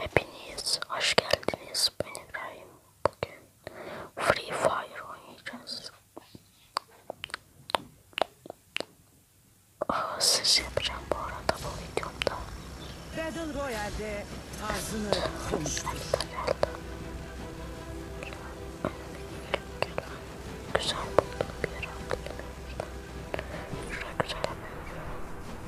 Hepiniz hoş geldiniz. Ben İbrahim. Bugün Free Fire oynayacağız. Aa, siz yapacağım bu arada bu videomda. Battle Royale'de ağzını Güzel buldum bir yer Şuraya güzel bir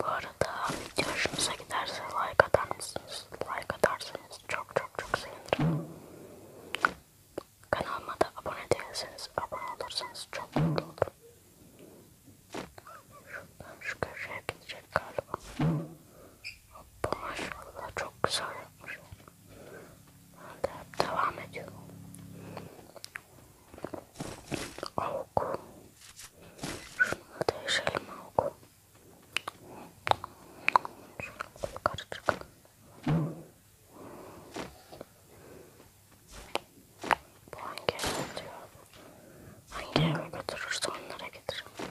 Bu arada video hoşunuza giderse like atar mısınız? Like atarsanız çok çok çok sevinirim. Kanalıma da abone değilseniz abone olursanız çok mutlu olurum. Şuradan şu köşeye gidecek galiba. Bu maşallah çok güzel yapmış. Ben de hep devam ediyorum. Avuk. Şunu değişelim avuk. Şöyle yukarı çıkalım. Bu hangi eve diyor? Hangi eve götürürse onlara getiririm.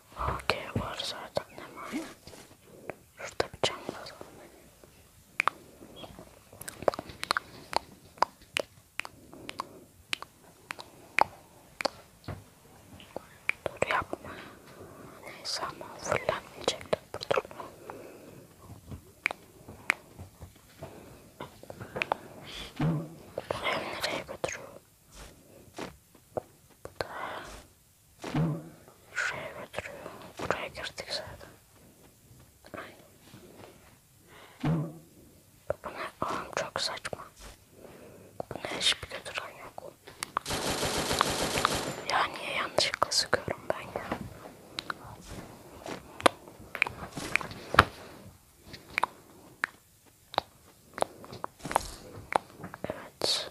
Okey var zaten hemen. Şurada bir cam lazım. Dur yapma. Neyse ama fullenmeyecektim. Dur. Bu ev nereye götürüyor? Bu da Şuraya götürüyor. Buraya girdik zaten. Ay. Bu ne? Ağam çok saçma. Bu ne hiçbir götüren yok. Ya niye yanlışlıkla sıkıyorum ben ya? Evet.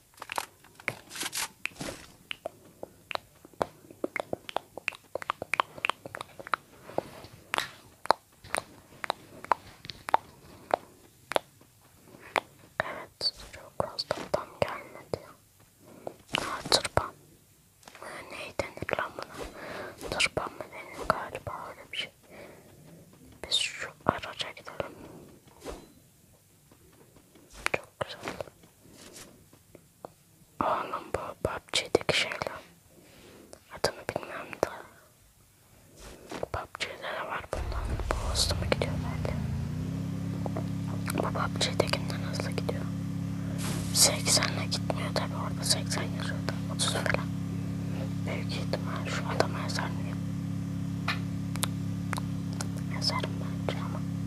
Evet, çok fazla tam gelmedi. Aa, tırpan. Ee, neyi denir lan buna? Tırpan mı denir galiba öyle bir şey. Biz şu araca gidelim. Çok güzel. Anam bu PUBG'deki şeyler. Adını bilmem de. PUBG'de de var bundan. Bu hızlı mı gidiyor belki? Bu PUBG'dekinden hızlı gidiyor. 80'le gitmiyor tabi orada 80 yazıyordu. 30 falan. Büyük ihtimal şu adama yazar mıyım? Yazarım bence ama.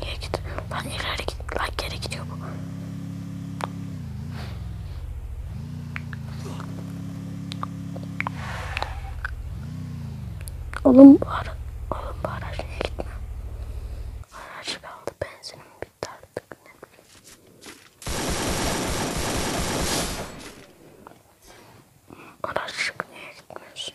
Niye git? Lan ileri git. Lan geri gidiyor bu. Oğlum bu ara, oğlum bu araç niye gitme? Araç kaldı benzinim bitti artık ne bileyim. Araç niye gitmiyorsun?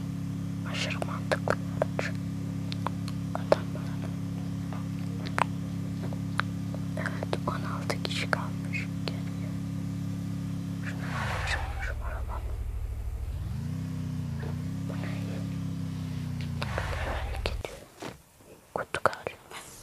aşırı mantıklı için adamların evet 16 kişi kalmış geliyor şuna çıkmışım arabam bu ne hareket kutu galiba aldık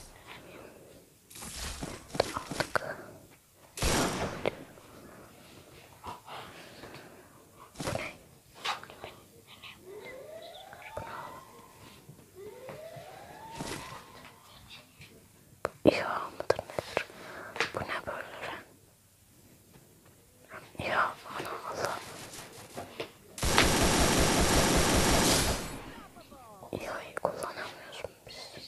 İha mıdır nedir? Bu ne böyle? Ya ana Allah. İha'yı kullanamıyoruz biz.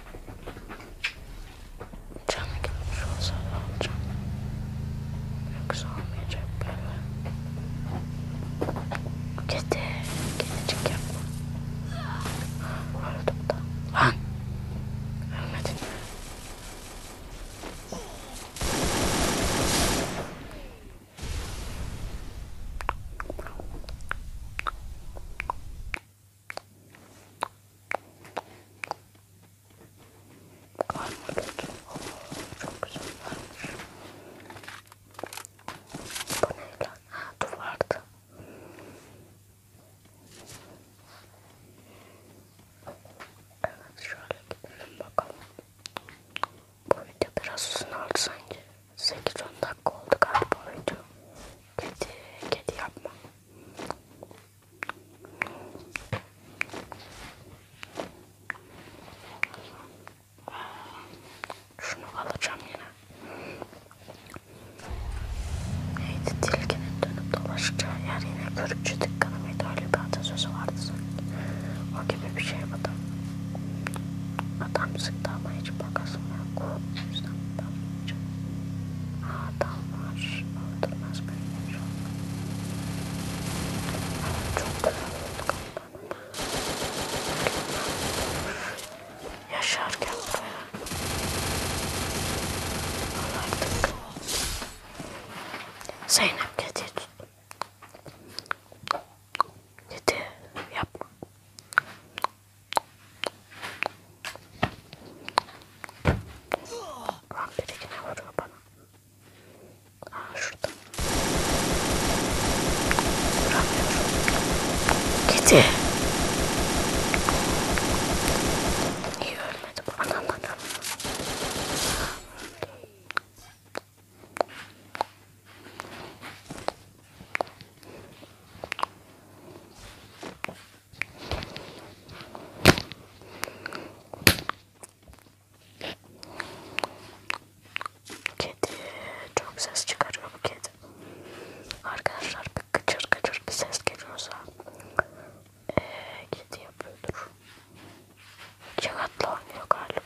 Canı gitmiş olsa alacağım. Yoksa almayacak beni. Kedi. Kedicik yapma. Öldüm da. Lan. Ölmedin mi? Karnabahar. Çok güzel varmış. Bu ne lan? Ha dur vardı. Evet şöyle gidelim bakalım. Bu video biraz uzun oldu sanki. 8-10 dakika oldu galiba oydu. Kedi, kedi yapma. Şunu alacağım yine. Neydi tilkinin dönüp dolaşacağı yer yine görükçü dükkanı mıydı? Öyle bir atasözü vardı sanki. O gibi bir şey bu da. Adam sıktı ama hiç bakasım yok. O yüzden ben adamlar öldürmez beni çok güzel yaşarken buraya alardık Zeynep kedi tuttum kedi yapma Lan ah, biri yine vuruyor bana. Aa ah, şurada. Vuramıyorum. Kedi. Niye ölmedi bu? Anam anam. Kedi çok ses çıkarıyor bu kedi. Arkadaşlar bir gıcır gıcır bir ses geliyorsa ee, kedi yapıyordur. Kağıtla oynuyor galiba.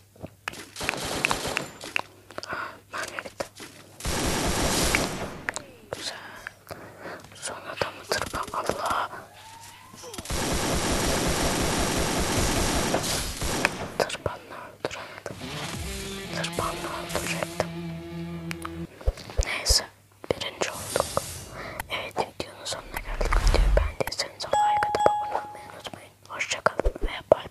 Magnet. Güzel. Sonra da mı tırpa? Allah. Tırpanla öldüremedim. Tırpanla öldürecektim. Neyse. Birinci olduk. Evet videonun sonuna geldik. Videoyu beğendiyseniz like atıp abone olmayı unutmayın. Hoşçakalın ve bay bay.